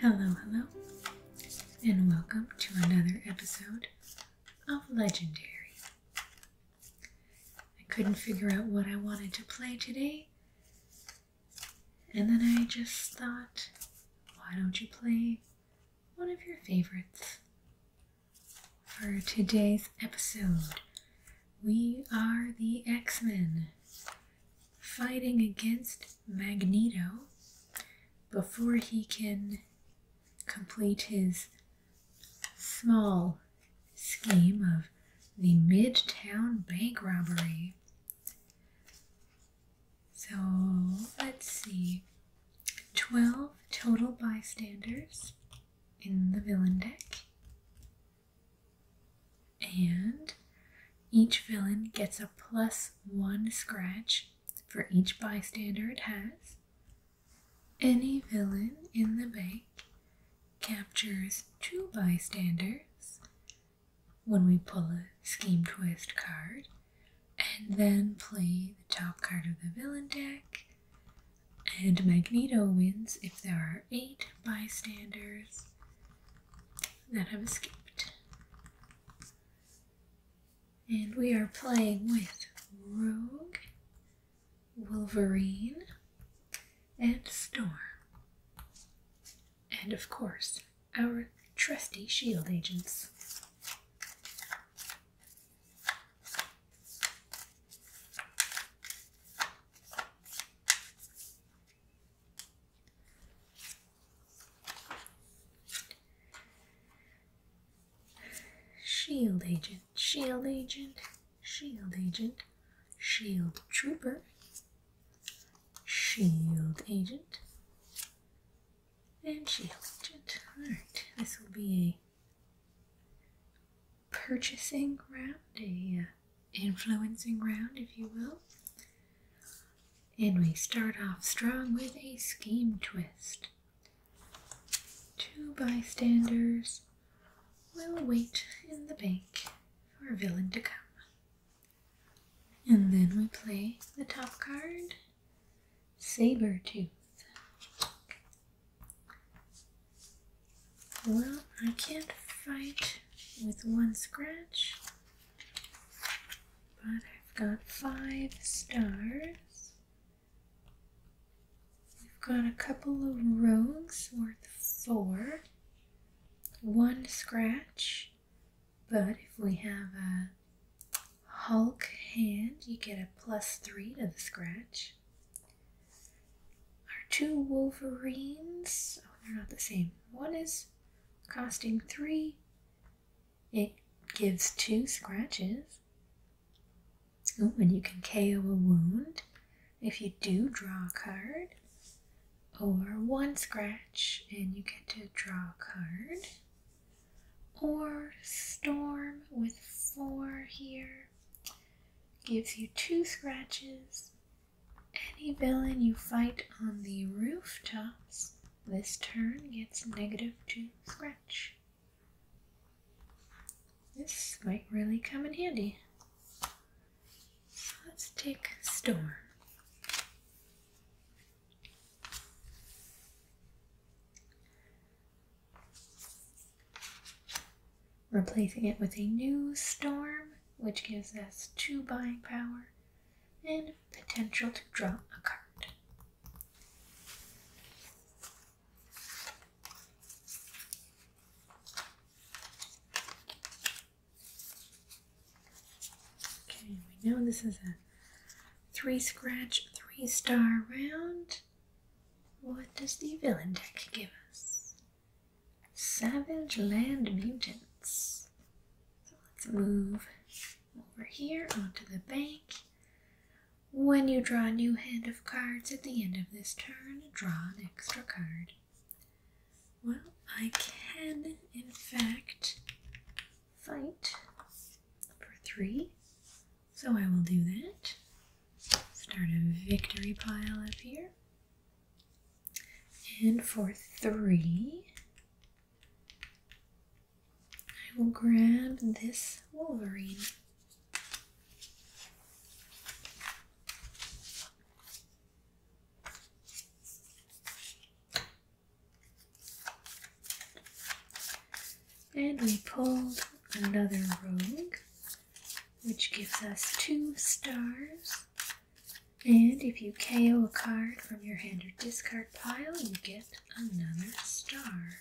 Hello, hello, and welcome to another episode of Legendary. I couldn't figure out what I wanted to play today, and then I just thought, why don't you play one of your favorites? for today's episode. We are the X Men fighting against Magneto before he can complete his small scheme of the Midtown bank robbery. So let's see. 12 total bystanders in the villain deck. And each villain gets a plus one scratch for each bystander it has. Any villain in the bank captures two bystanders when we pull a scheme twist card and then play the top card of the villain deck. And Magneto wins if there are eight bystanders that have escaped. And we are playing with Rogue, Wolverine, and Storm. And of course, our trusty shield agents. Shield agent, shield agent, shield agent, shield trooper, shield agent, and shield agent. Alright, this will be a purchasing round, a uh, influencing round, if you will. And we start off strong with a scheme twist. Two bystanders will wait in the bank for a villain to come. And then we play the top card saber tooth. Well, I can't fight with one scratch, but I've got five stars. We've got a couple of rogues worth four, one scratch, but if we have a Hulk hand, you get a plus three to the scratch. Our two Wolverines, oh, they're not the same. One is costing three, it gives two scratches. Oh, and you can KO a wound if you do draw a card, or one scratch and you get to draw a card. Or storm with four here gives you two scratches. Any villain you fight on the rooftops this turn gets negative two scratch. This might really come in handy. let's take Storm replacing it with a new storm, which gives us two buying power and potential to draw a card. Okay, we know this is a three scratch, three star round. What does the villain deck give us? Savage Land Mutants. So let's move over here onto the bank. When you draw a new hand of cards at the end of this turn, draw an extra card. Well, I can, in fact, fight for three. So I will do that. Start a victory pile up here. And for three, I will grab this Wolverine. And we pulled another rogue, which gives us two stars. And if you KO a card from your hand or discard pile, you get another star.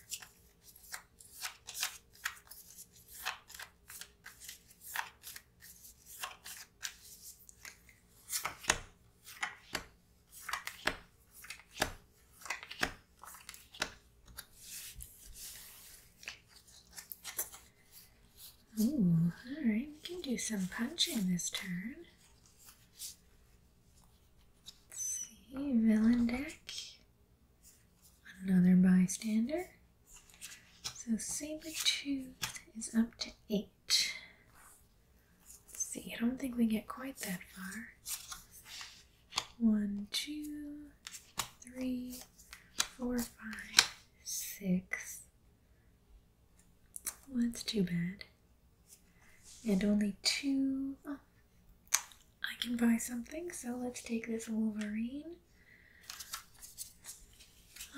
Ooh, alright, we can do some punching this turn. see, villain deck. Another bystander. So Sabretooth is up to eight. Let's see, I don't think we get quite that far one, two, three, four, five, six. that's too bad. And only two. Oh, I can buy something, so let's take this Wolverine.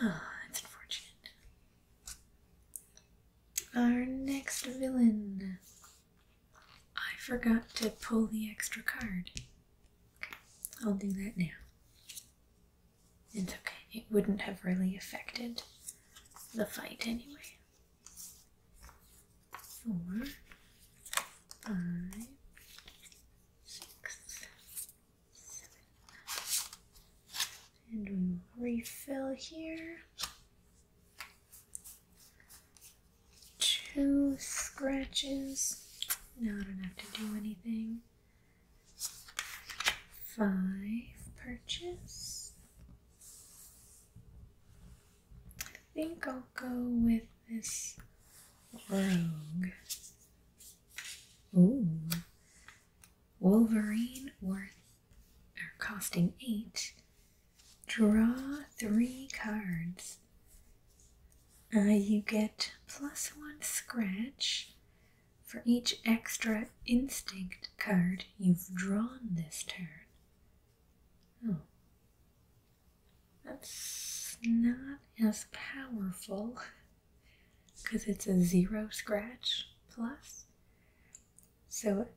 Oh, that's unfortunate. Our next villain I forgot to pull the extra card. I'll do that now. It's okay, it wouldn't have really affected the fight anyway. Four, five, six, seven, and we refill here two scratches. No, I don't have to do anything. Five purchase. I think I'll go with this rogue. Ooh. Wolverine worth or costing eight Draw three cards. Uh, you get plus one scratch for each extra instinct card you've drawn this turn. Oh. That's not as powerful because it's a zero scratch plus. So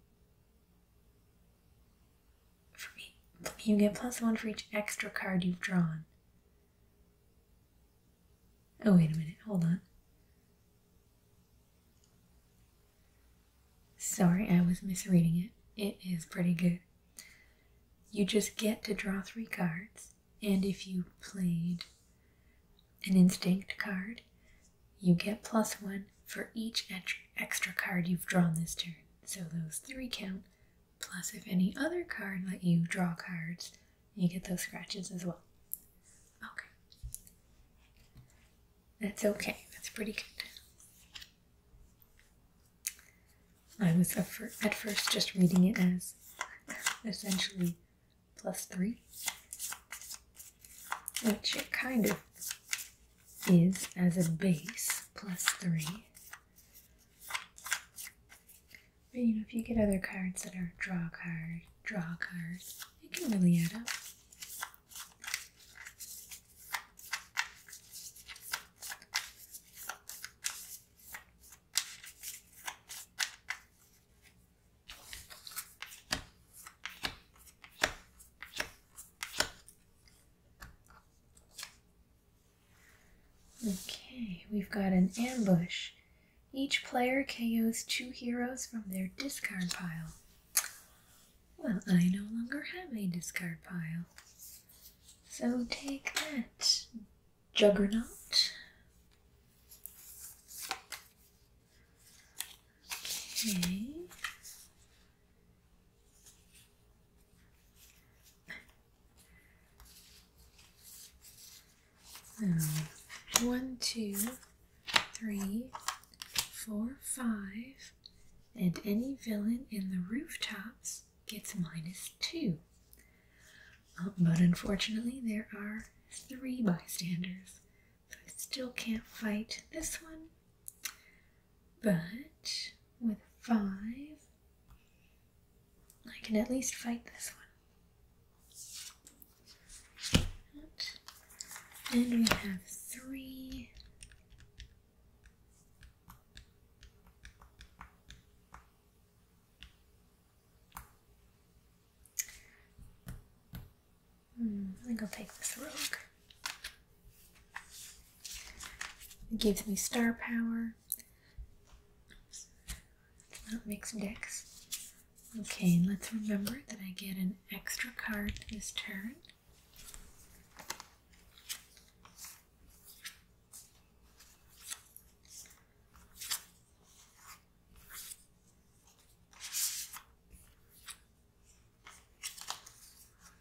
for you get plus one for each extra card you've drawn. Oh, wait a minute, hold on. Sorry, I was misreading it. It is pretty good. You just get to draw three cards, and if you played an instinct card, you get plus one for each extra card you've drawn this turn. So those three count, plus if any other card let you draw cards, you get those scratches as well. Okay. That's okay. That's pretty good. I was at first just reading it as essentially plus three, which it kind of is as a base plus three. But you know, if you get other cards that are draw cards, draw cards, it can really add up. Okay, we've got an ambush. Each player KOs two heroes from their discard pile. Well, I no longer have a discard pile. So take that, Juggernaut. Okay one, two, three, four, five, and any villain in the rooftops gets minus two. Uh, but unfortunately, there are three bystanders, so I still can't fight this one. But with five, I can at least fight this one. And we have three. Hmm, I think I'll take this rogue. It gives me star power. not mixed decks. Okay, let's remember that I get an extra card this turn.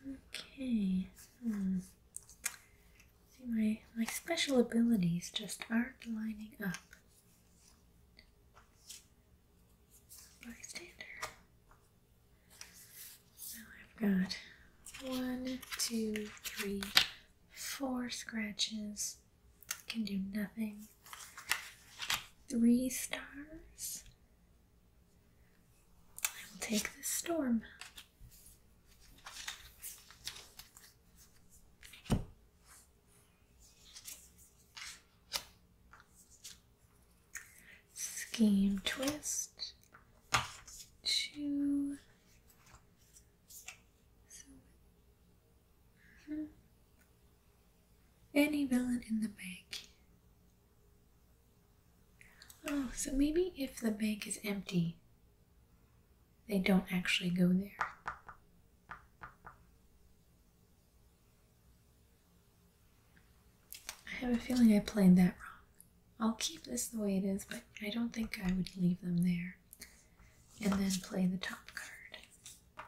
Okay, hmm. See, my, my special abilities just aren't lining up. Bystander. So I've got one, two, three, four scratches. Can do nothing. Three stars. I will take this storm. Scheme twist two. Hmm. Any villain in the bank. Oh, so maybe if the bank is empty, they don't actually go there. I have a feeling I played that wrong. I'll keep this the way it is, but I don't think I would leave them there. And then play the top card.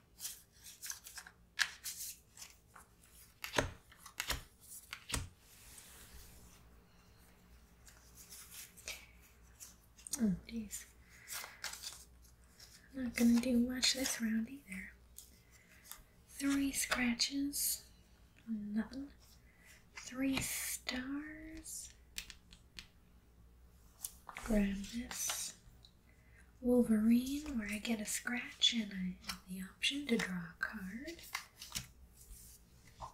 Oh, geez. Not gonna do much this round either. Three scratches, nothing. Three stars. Grab this. Wolverine, where I get a scratch and I have the option to draw a card. Okay.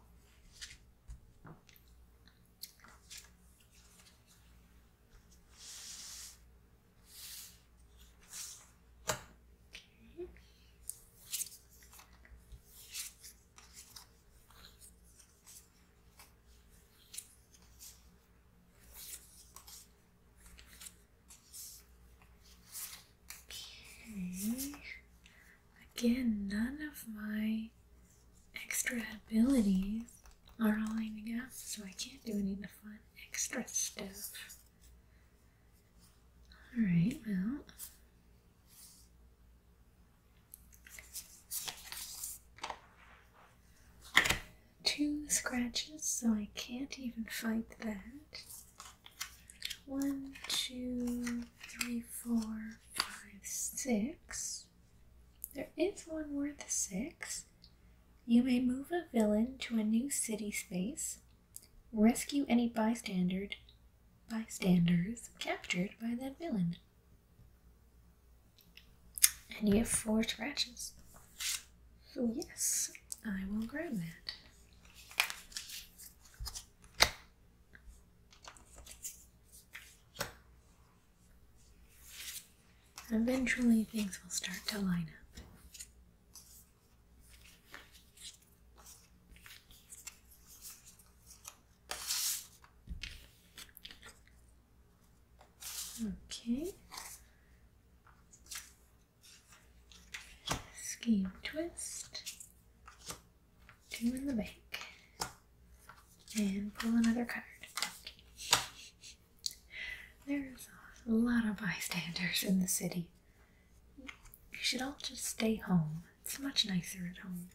Again, none of my extra abilities are all lining up, so I can't do any of the fun extra stuff. Alright, well. Two scratches, so I can't even fight that. One, two, three, four, five, six. There is one worth six. You may move a villain to a new city space, rescue any bystander, bystanders captured by that villain. And you have four scratches. So, yes, I will grab that. eventually things will start to line up. Okay. Scheme twist. Two in the back. And pull another card. There's a lot of bystanders in the city. You should all just stay home. It's much nicer at home.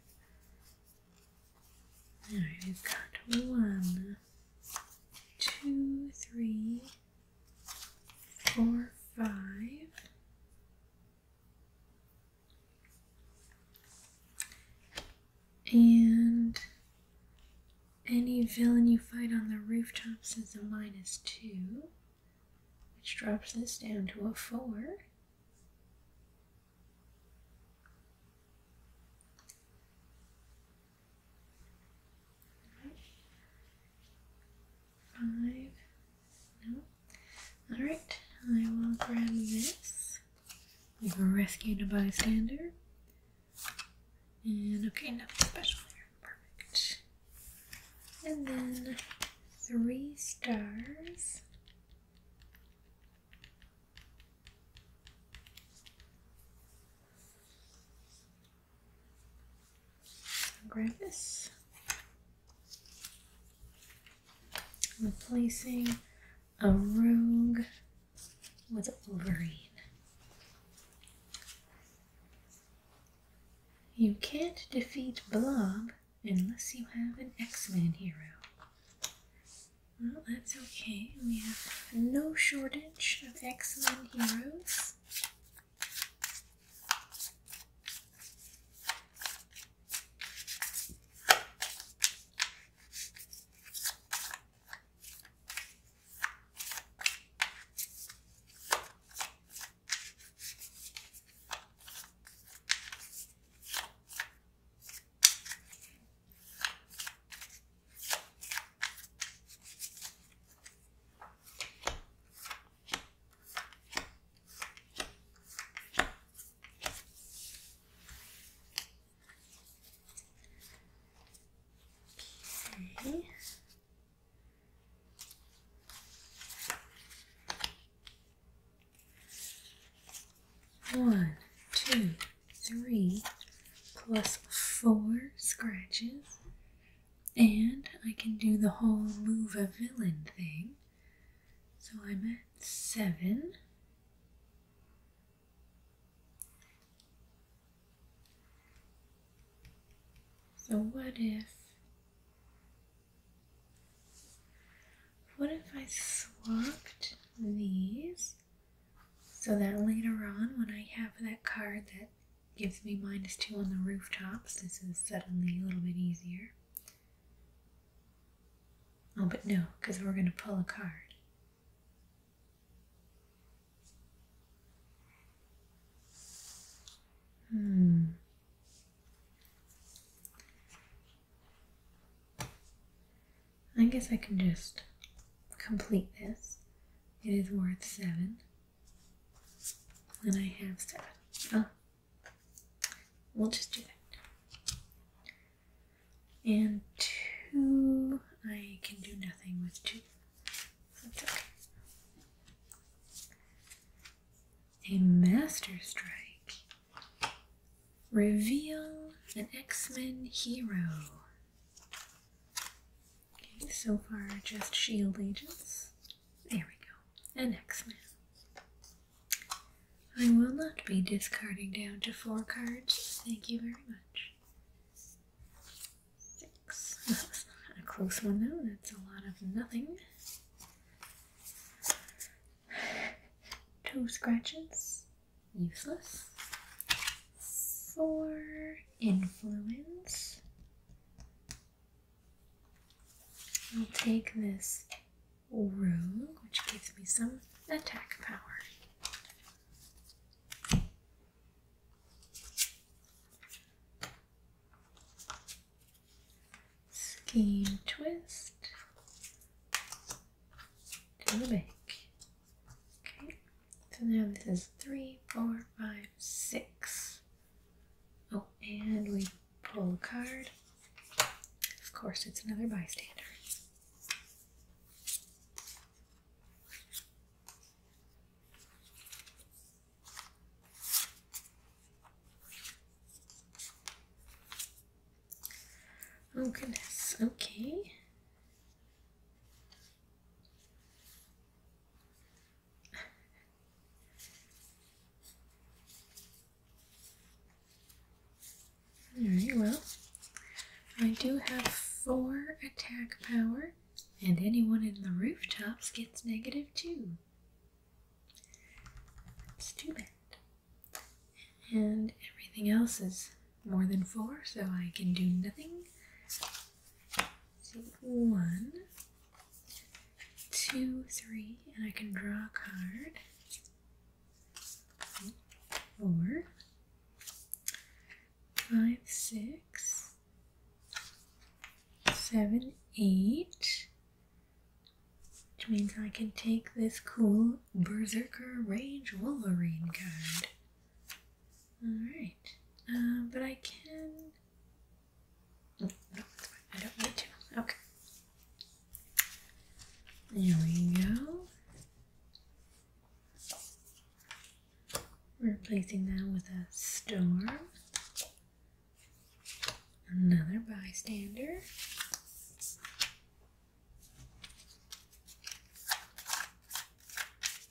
Alright, we've got one one, two, three, four, five. And any villain you fight on the rooftops is a minus two, which drops this down to a four. Five. No. Alright, I will grab this. We have rescued a bystander. And okay, nothing special here. Perfect. And then three stars. I'll grab this. Replacing a rogue with a Wolverine. You can't defeat Blob unless you have an x man hero. Well, that's okay. We have no shortage of excellent heroes. Okay. One, two, three plus four scratches. And I can do the whole move a villain thing. So I'm at seven. So what if what if I swapped these so that later on, when I have that card that gives me minus two on the rooftops, this is suddenly a little bit easier. Oh, but no, because we're going to pull a card. Hmm. I guess I can just complete this. It is worth seven. And I have seven. Oh. We'll just do that. And two, I can do nothing with two. That's okay. A Master Strike. Reveal an X-Men hero. Okay, so far just shield agents. There we go. And X-Men. I will not be discarding down to four cards. Thank you very much. Six. That's not a close one though. That's a lot of nothing. Two scratches useless. For influence, I'll take this rune, which gives me some attack power. Scheme twist to the bank. Okay, so now this is three, four, five, six. Oh, and we pull a card. Of course, it's another bystander. Oh goodness, okay. Alright, well, I do have four attack power, and anyone in the rooftops gets negative two. That's too bad. And everything else is more than four, so I can do nothing. one, two, three, and I can draw a card. Four, five, six, seven, eight. Which means I can take this cool Berserker Rage Wolverine card. Alright. Um, but I can. Oh, no, I don't need to. Okay. There we go. Replacing that with a storm. Another bystander.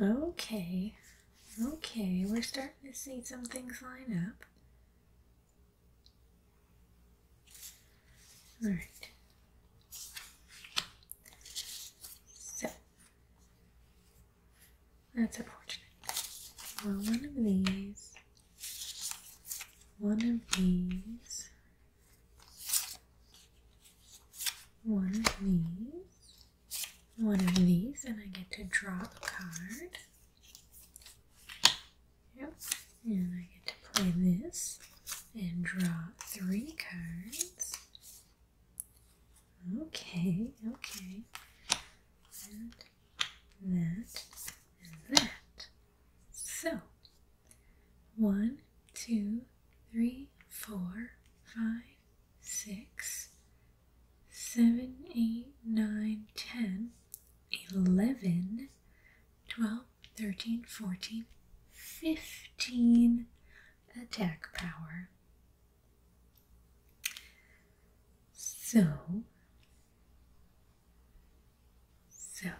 Okay, okay, we're starting to see some things line up. All right. So, that's unfortunate. Well, one of these, one of these, one of these, one of these, and I get to draw a card. Yep, and I get to play this and draw three cards. Okay, okay. And that and that. So one, two, three, four, five, six, seven, eight, nine, ten, eleven, twelve, thirteen, fourteen, fifteen attack power. So, so,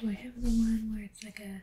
do I have the one where it's like a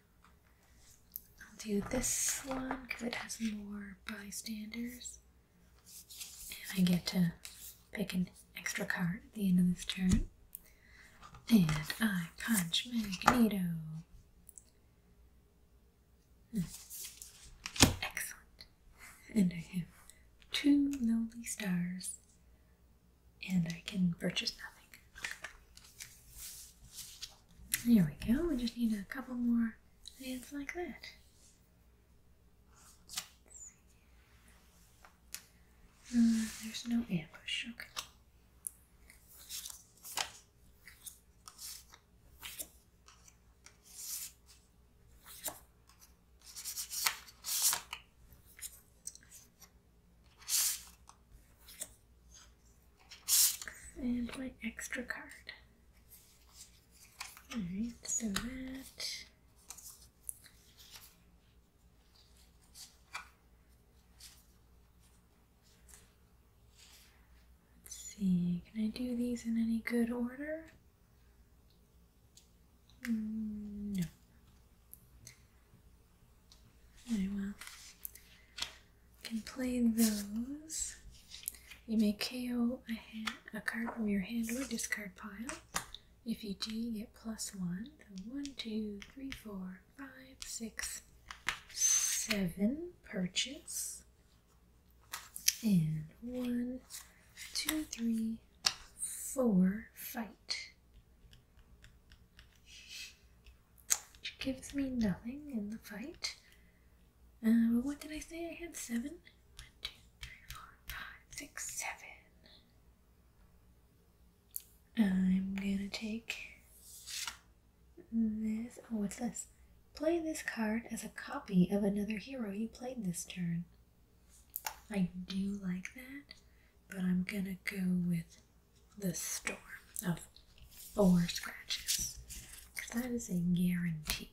I'll do this one because it has more bystanders. And I get to pick an extra card at the end of this turn. And I punch Magneto. Hmm. Excellent. And I have two lonely stars. And I can purchase nothing. There we go. We just need a couple more hands like that. Uh, there's no ambush. Okay. And my extra card. Alright, so that. Let's see, can I do these in any good order? Mm, no. Very well can play those. You may KO a, a card from your hand or discard pile. If you do, you get plus one. So one, two, three, four, five, six, seven. Purchase. And one, two, three, four. Fight which gives me nothing in the fight. Uh, what did I say? I had seven? One, two, three, four, five, six, seven. I'm gonna take this. Oh, what's this? Play this card as a copy of another hero you played this turn. I do like that, but I'm gonna go with the storm of four scratches because that is a guarantee.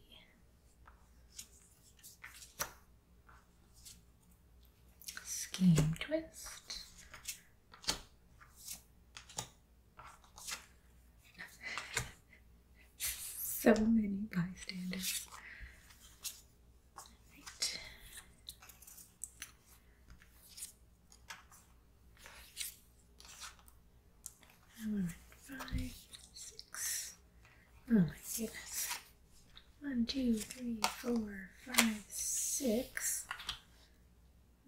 Scheme twist. so many bystanders right, five, six. Oh my goodness. One, two, three, four, five, six.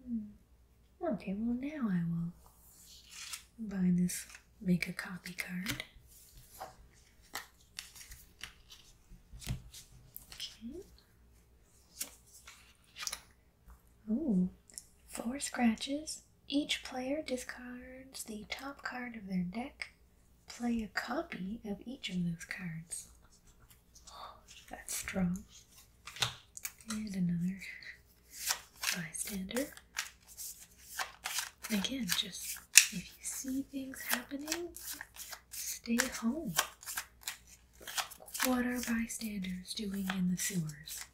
Hmm. Okay, well now I will buy this make a copy card. Okay. Ooh. Four scratches. Each player discards the top card of their deck. Play a copy of each of those cards. Oh, that's strong. And another bystander. Again, just if you see things happening, stay home. What are bystanders doing in the sewers?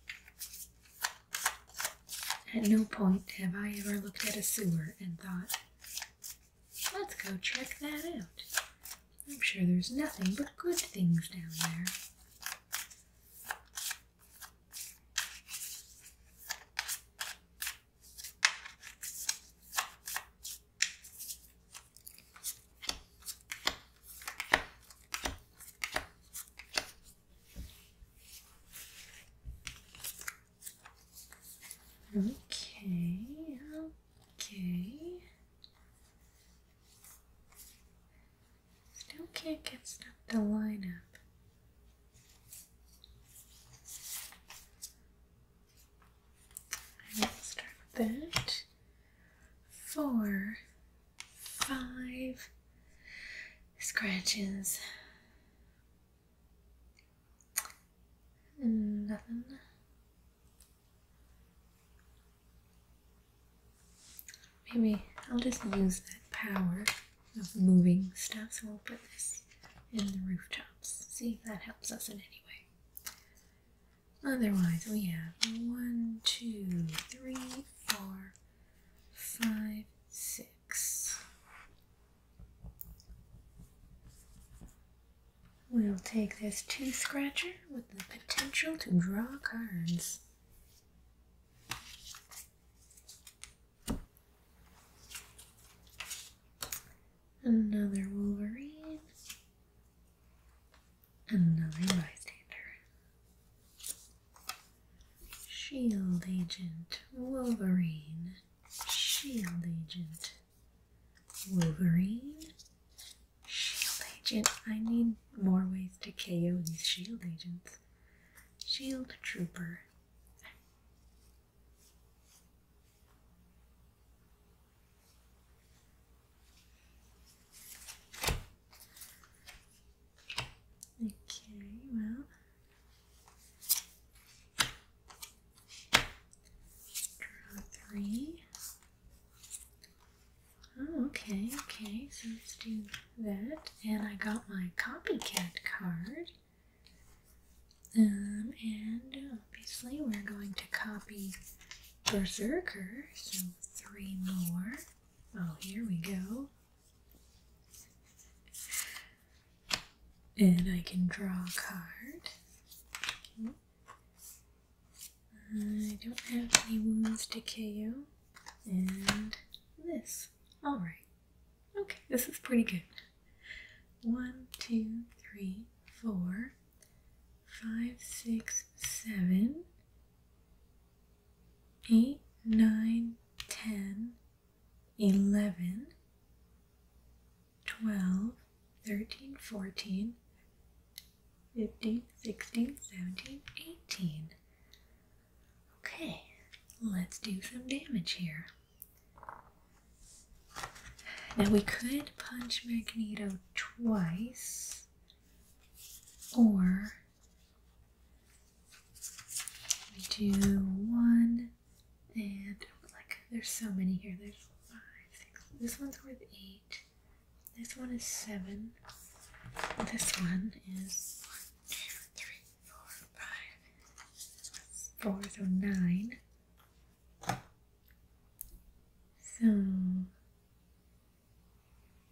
At no point have I ever looked at a sewer and thought, let's go check that out. I'm sure there's nothing but good things down there. Okay, okay. Still can't get stuff to line up. I will start with that four, five scratches. Nothing. Maybe I'll just use that power of moving stuff, so we'll put this in the rooftops. See if that helps us in any way. Otherwise, we have one, two, three, four, five, six. We'll take this two scratcher with the potential to draw cards. Another Wolverine. Another bystander. Shield Agent Wolverine. Shield Agent Wolverine. Shield Agent. I need more ways to KO these Shield Agents. Shield Trooper. Okay, well, draw three. Oh, okay, okay, so let's do that. And I got my copycat card. Um, and obviously we're going to copy Berserker, so three more. Oh, here we go. And I can draw a card. I don't have any wounds to KO. And this. Alright. Okay, this is pretty good. One, two, three, four, five, six, seven, eight, nine, ten, eleven, twelve, thirteen, fourteen, fifteen, sixteen, seventeen, eighteen. Okay, let's do some damage here. Now we could punch Magneto twice, or we do one and like there's so many here. There's five, six. This one's worth eight. This one is seven. This one is one, two, three, four, five, four, so nine. So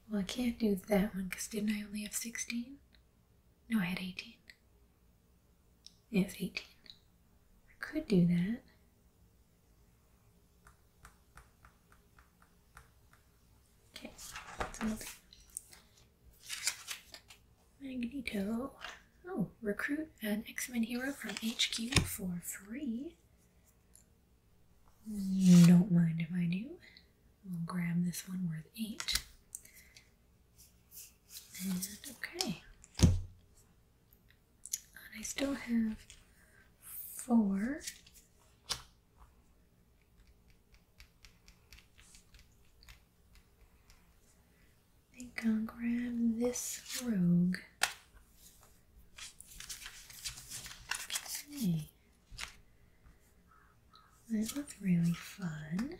well, I can't do that one because didn't I only have 16? No, I had 18. Yes, 18. I could do that. Okay, that's all. Magneto. Oh, recruit an X-Men hero from HQ for free. Don't mind if I do. We'll grab this one worth eight. And okay. I still have four. I think I'll grab this rogue. Okay. That was really fun.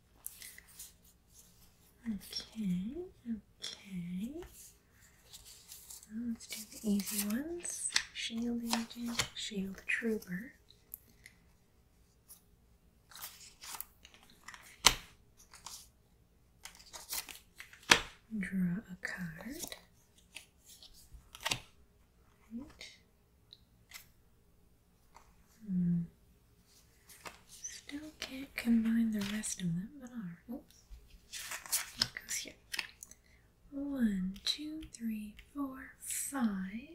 Okay, okay. Let's do the easy ones. Shield agent, shield trooper. Draw a card. Right. Hmm. Still can't combine the rest of them, but alright. Oops. goes here. One, two, three, four, five.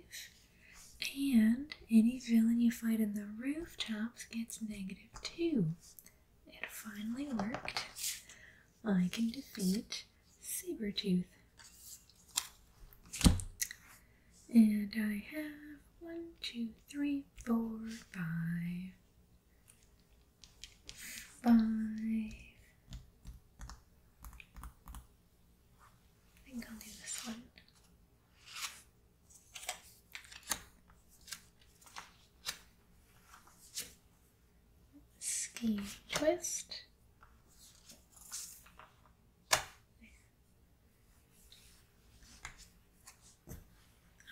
And any villain you fight in the rooftops gets negative two. It finally worked. I can defeat Saber Tooth. And I have one, two, three, four, five, five. I think I'll do this one. Ski twist.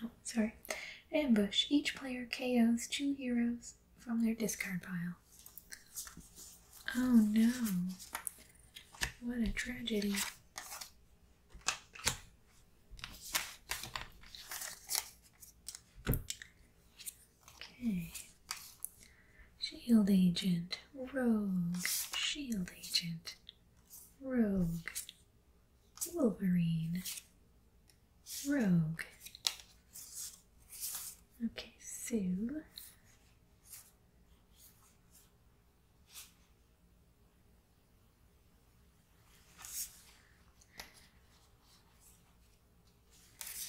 Oh, sorry. Ambush. Each player KOs two heroes from their discard pile. Oh no. What a tragedy. Okay. Shield Agent. Rogue. Shield Agent. Rogue, Wolverine, Rogue. Okay, Sue.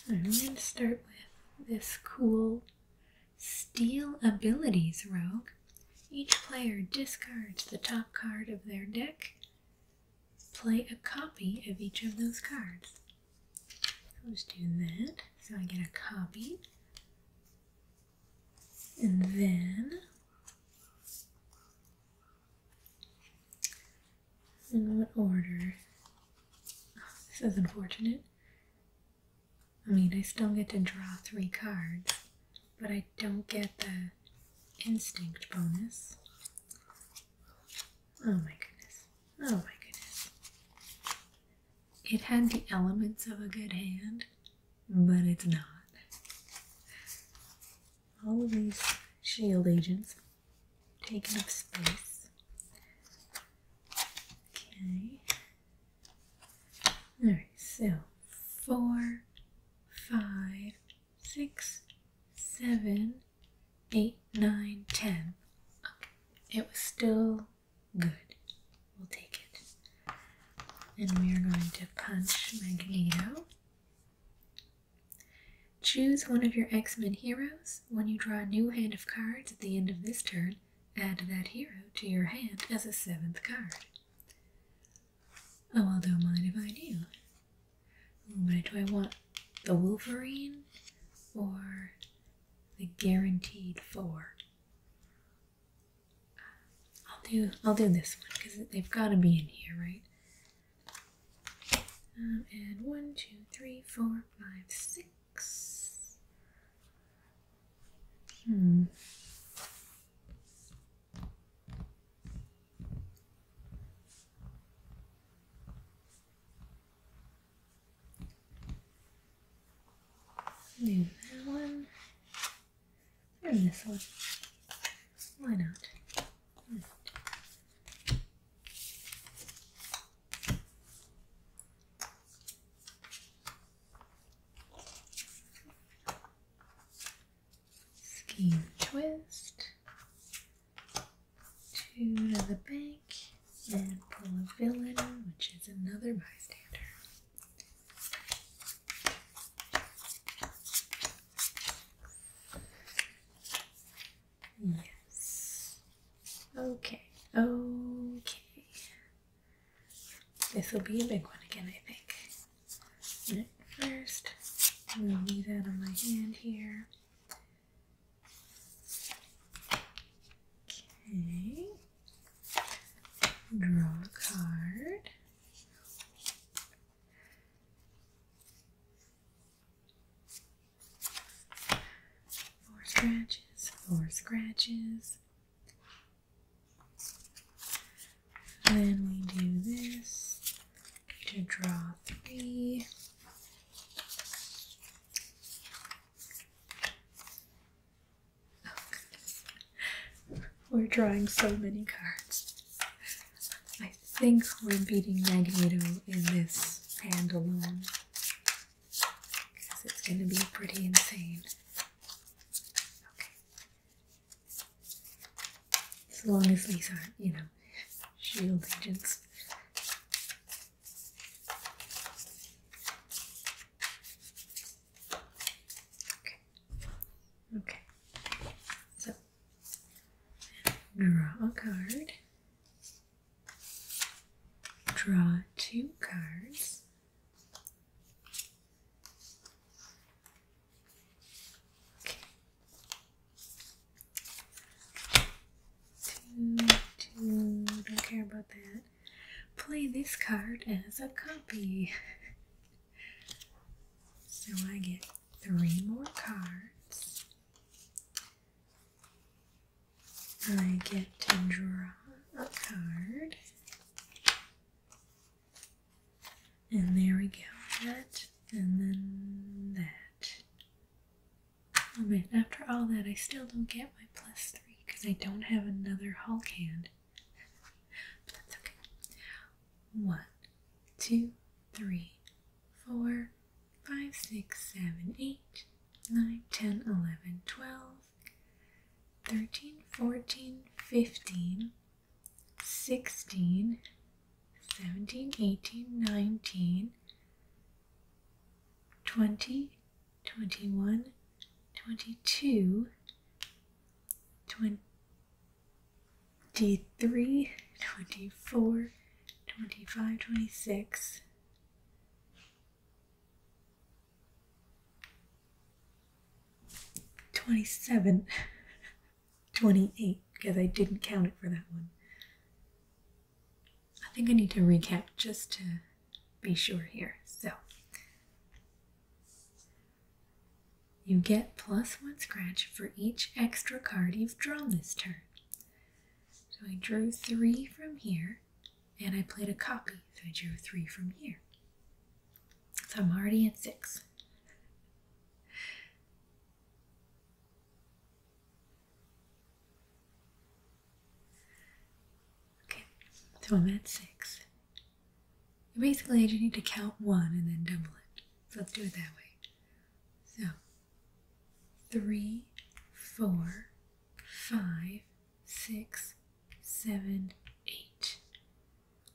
I'm going to start with this cool Steal Abilities Rogue. Each player discards the top card of their deck. Play a copy of each of those cards. I'll just do that. So I get a copy. And then in what order? this is unfortunate. I mean, I still get to draw three cards, but I don't get the instinct bonus. Oh my goodness. Oh my goodness. It had the elements of a good hand, but it's not. All of these shield agents taking up space. Okay. All right, so four, five, six, seven, eight, nine, ten. it was still good. We'll take it. And we are going to punch Magneto. Choose one of your X-Men heroes. When you draw a new hand of cards at the end of this turn, add that hero to your hand as a seventh card. Oh, I don't mind if I do. But do I want the Wolverine or the guaranteed four? I'll do I'll do this one because they've got to be in here, right? Um, and one, two, three, four, five, six. Hmm. that one or this one. Why not? skein twist two to the bank, and pull a villain which is another bystander yes okay okay this will be a big one again, I think. First, I'm gonna these that on my hand here. Okay. Draw a card. Four scratches, four scratches, then we do this to draw three. Oh, we're drawing so many cards. I think we're beating Magneto in this hand alone. Because it's going to be pretty insane. Okay. As long as these aren't, you know, shield agents. Okay. Okay. So draw a card. Draw two cards. Two, two, don't care about that. Play this card as a copy. so I get three more cards. I get to draw a card. And there we go. That and then that. Oh after all that, I still don't get my plus three because I don't have another Hulk hand. but that's okay. One, two, three, four, five, six, seven, eight, nine, ten, eleven, twelve. 13, 14, 15, 16, 17, 18, 19, 20, 21, 22, 23, 24, 25, 26, 27, 28, because I didn't count it for that one. I think I need to recap just to be sure here. So, you get plus one scratch for each extra card you've drawn this turn. So I drew three from here, and I played a copy, so I drew three from here. So I'm already at six. Okay, so I'm at six. Basically, I just need to count one and then double it. So let's do it that way. So, three, four, five, six, seven, eight.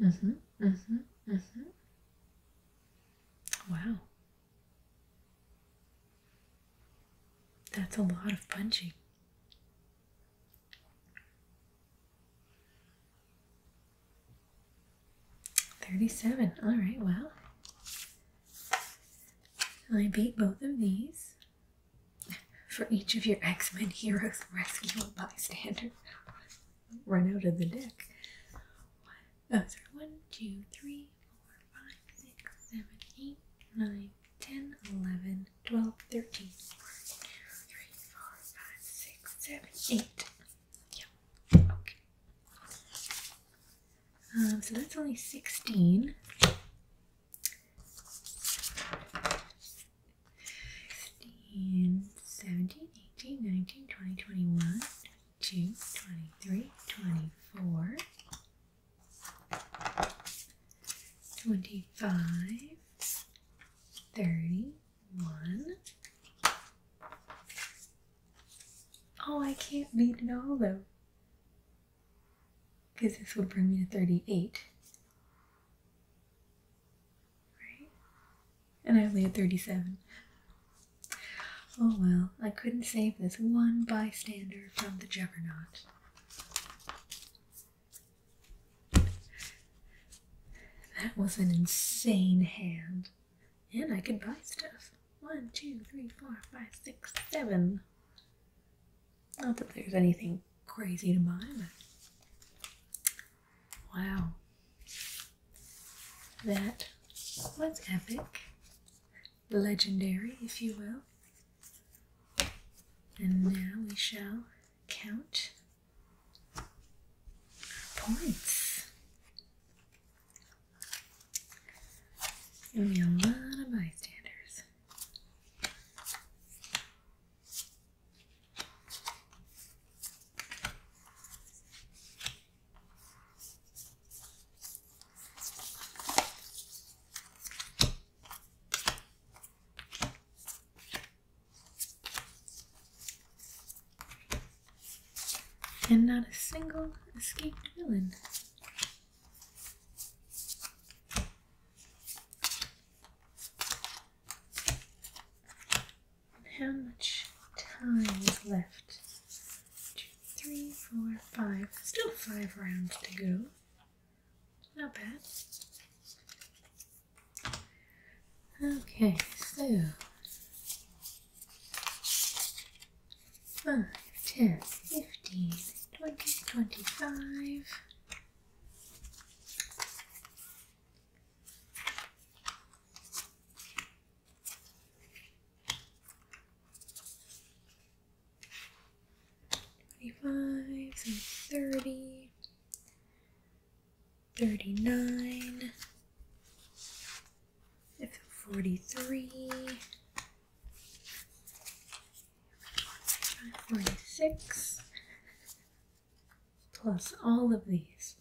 Mm-hmm. Mm-hmm. Mm-hmm. Wow. That's a lot of punching. Thirty-seven. All right. Well, I beat both of these for each of your X Men heroes rescue a bystander run out of the deck. One, oh, sorry, one, two, three, four, five, six, seven, eight, nine, ten, eleven, twelve, thirteen. One, two, three, four, five, six, seven, eight. Yeah. Okay. Um, so that's only sixteen. 16, 17, 18, 19, 20, 21, 22, 23, 24, 25, 31. Oh, I can't read it all though. Because this would bring me to 38. Right? And I only had 37. Oh well, I couldn't save this one bystander from the juggernaut. That was an insane hand. And I could buy stuff. One, two, three, four, five, six, seven. Not that there's anything crazy to buy, Wow. That was epic. Legendary, if you will. And now we shall count points. Gonna a lot of bystanders. And not a single escaped villain how much time is left. Two, three, four, five. Still five rounds to go. Not bad. Okay, so five, ten, fifteen, twenty, twenty-five. Twenty-five, thirty, thirty-nine, forty-three, forty-six, plus all of these.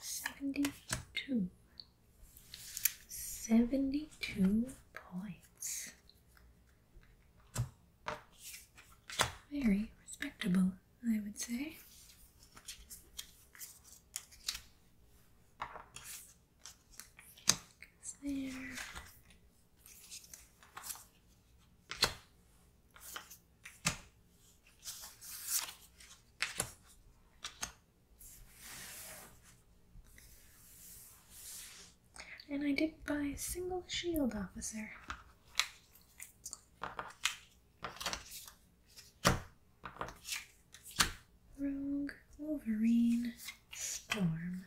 Seven, 72 points. Very respectable, I would say. There. And I did buy a single shield officer. Rogue, Wolverine, Storm.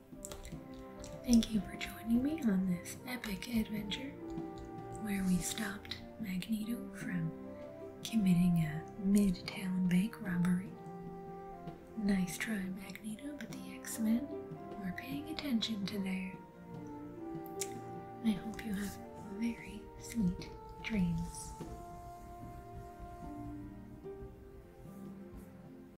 Thank you for joining me on this epic adventure where we stopped Magneto from committing a midtown bank robbery. Nice try, Magneto, but the X Men are paying attention to their. I hope you have very sweet dreams.